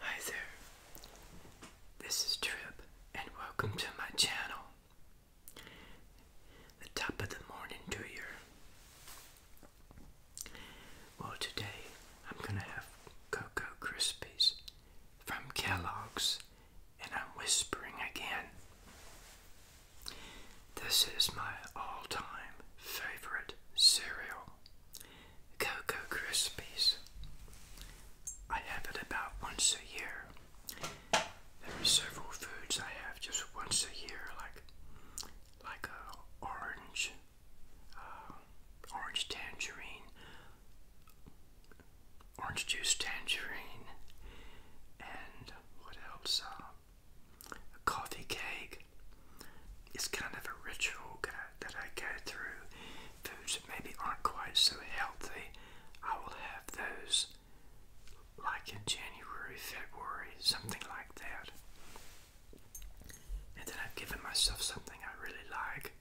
Hi there, this is Trip, and welcome to my channel. The top of the morning to you. Well, today I'm gonna have Cocoa Krispies from Kellogg's, and I'm whispering again. This is my all time favorite cereal, Cocoa Krispies. I have it about once a year. There are several foods I have just once a year, like like a uh, orange, uh, orange tangerine, orange juice tangerine, and what else? Um, a coffee cake is kind of a ritual that I go through. Foods that maybe aren't quite so healthy, I will have those like in January, February, something like that. And then I've given myself something I really like,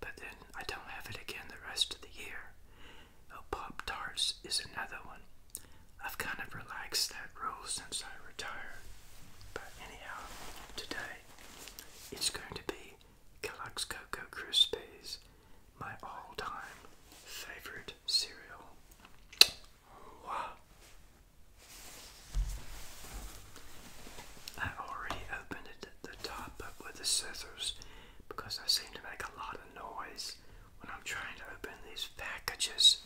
but then I don't have it again the rest of the year. Oh, Pop Tarts is another one. I've kind of relaxed that rule since I retired. But anyhow, today it's going to be Kellogg's Cocoa Krispies, my all time favorite cereal. Wow. I already opened it at the top up with the scissors because I seem to make a lot of noise when I'm trying to open these packages.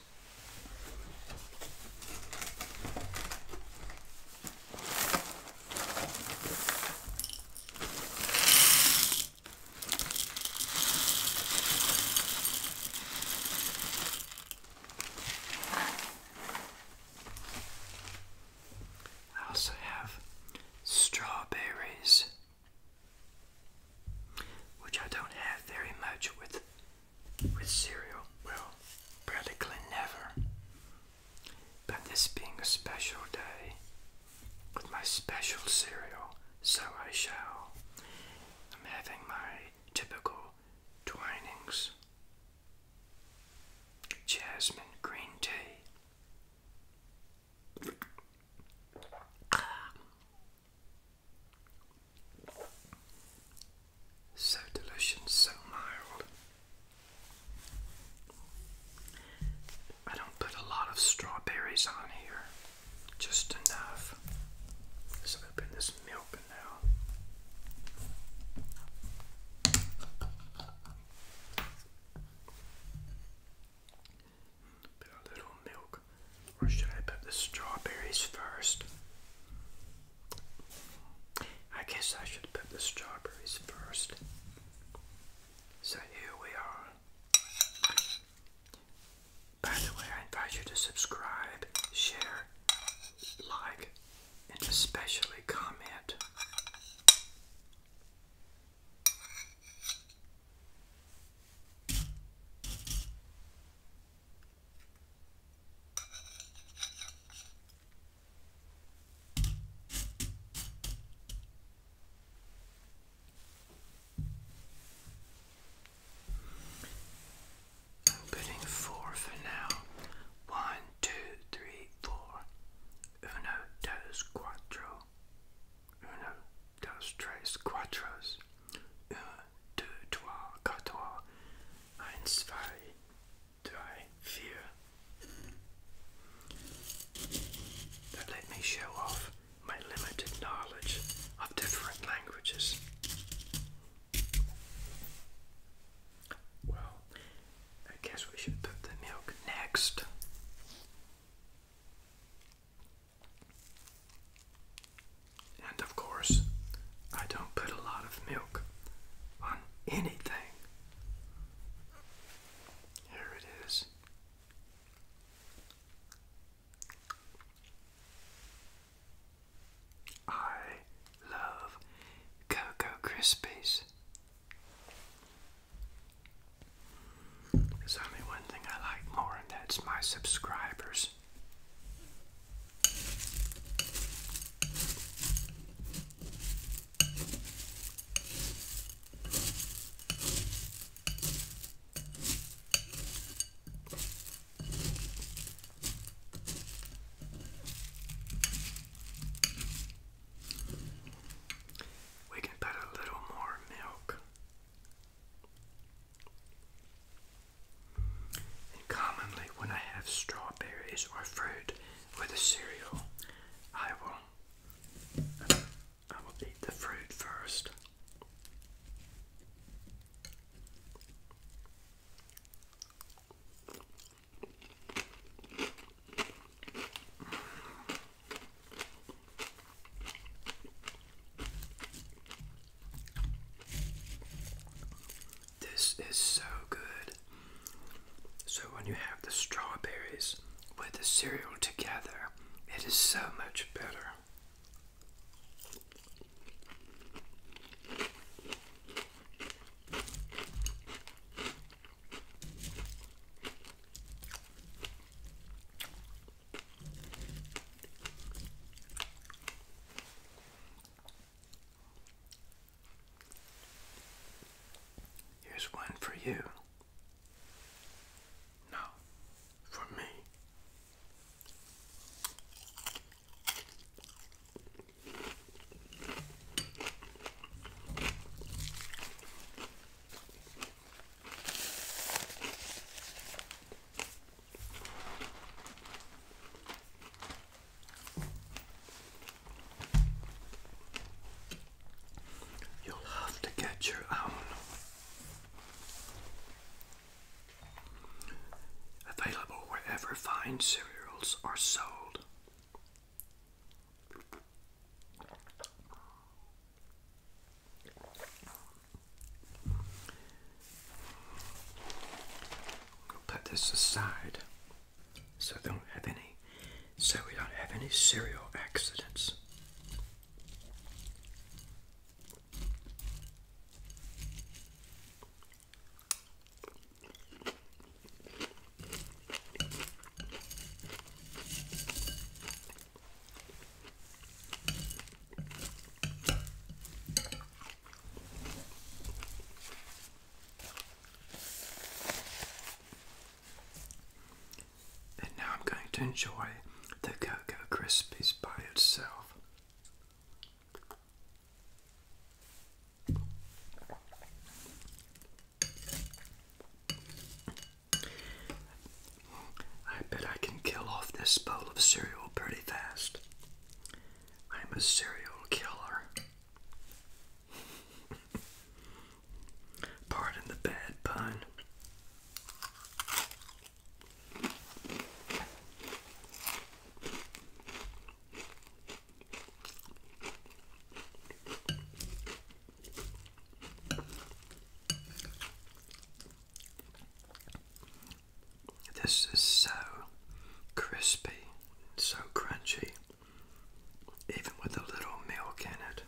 I also have strawberries, which I don't have very much with with cereal? Well, practically never. But this being a special day with my special cereal, so I shall. I'm having my typical Twinings Jasmine Green Tea. So delicious, so mild. I don't put a lot of strawberries on here, just enough. Let's open this milk now. a little milk, or should I put the strawberries first? I guess I should put the strawberries first. So here we are. By the way, I invite you to subscribe, share, like, and especially comment. I'm putting four for now. One, two, three, four. Uno, dos, cuatro. Uno, dos, tres, cuatros. 1, 2, 3, 4, 1, 2, 3, 4. That let me show off my limited knowledge of different languages. Well, I guess we should put the milk next. And of course, I don't put a lot of milk on anything. Here it is. I love Cocoa Krispies. There's only one thing I like more, and that's my subscribers. We can put a little more milk and commonly, when I have strawberries or fruit with a cereal, I will I will eat the fruit first. This is so good. So, when you have the strawberries with the cereal together, it is so much better. Here's one for you. No, for me. You'll have to get your own. Available wherever fine cereals are sold put this aside so I don't have any so we don't have any serial accidents. And now I'm going to enjoy the Cocoa Krispies by itself. I bet I can kill off this bowl of cereal pretty fast. I'm a serial killer. Pardon the bad pun. This is so crispy, so crunchy, even with a little milk in it.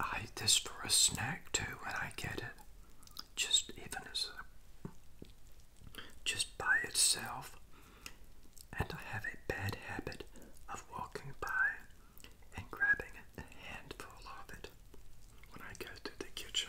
I eat this for a snack too when I get it, just even as just by itself. And I have a bad habit of walking by and grabbing a handful of it when I go to the kitchen.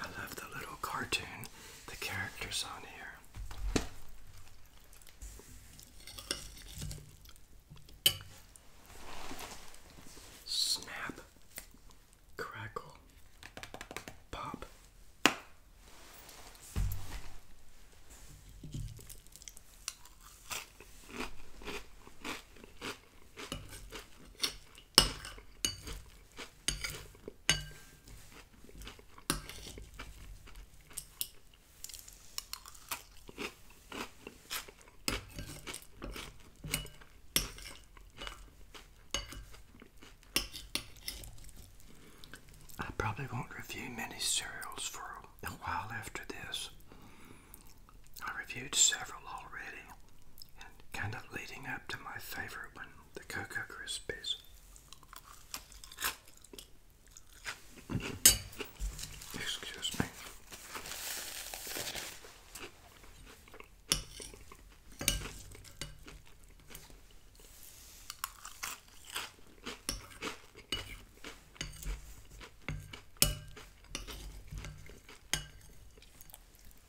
I love the little cartoon, the characters on here. Snap, crackle, pop. I probably won't review many cereals for a while after this. I reviewed several already and kind of leading up to my favorite one the Cocoa Krispies. Excuse me.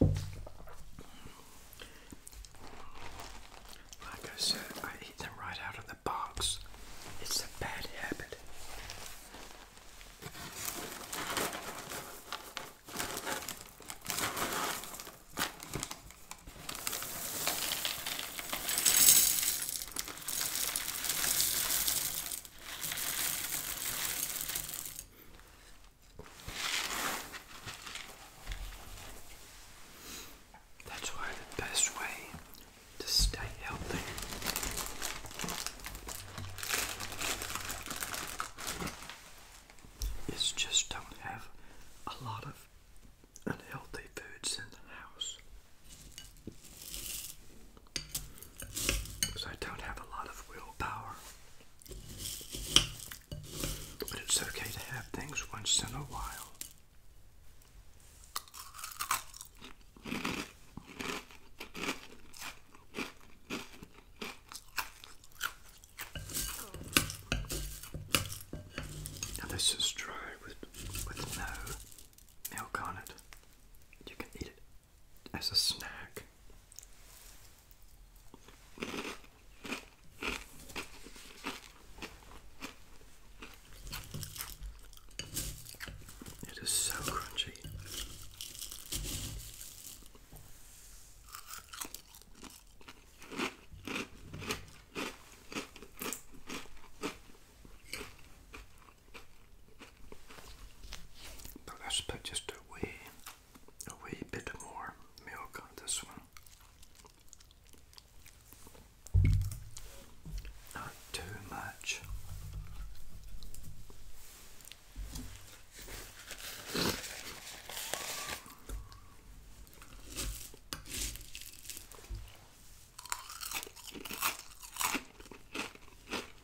Like I said, I eat them right out of the box. It's a bad habit. That's why the best way to stay healthy is just don't have a lot of unhealthy foods in the house. Because I don't have a lot of willpower. But it's okay to have things once in a while. Now this is dry with with no milk on it. You can eat it as a snack. It is so crunchy. But let's put just away a wee bit more milk on this one. Not too much.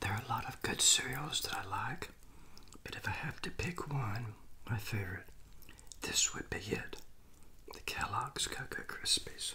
There are a lot of good cereals that I like, but if I have to pick one, my favorite, this would be it the Kellogg's Cocoa Krispies.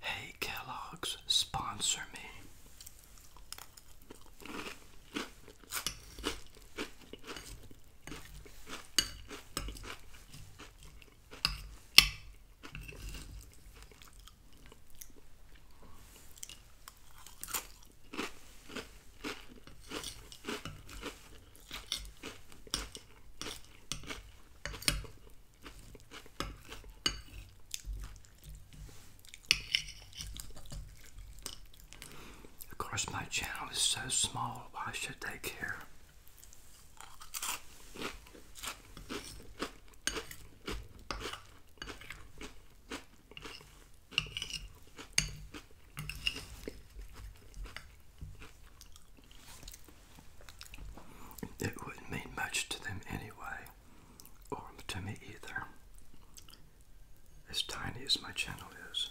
Hey Kellogg's, sponsor me. Of course, my channel is so small, why should they care? It wouldn't mean much to them anyway, or to me either, as tiny as my channel is.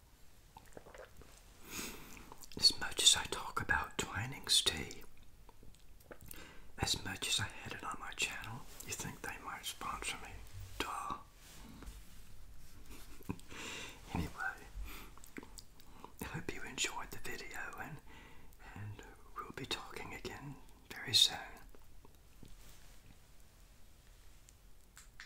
As much as I talk about Twinings tea, as much as I had it on my channel, you think they might sponsor me? Duh. anyway, I hope you enjoyed the video and and we'll be talking again very soon.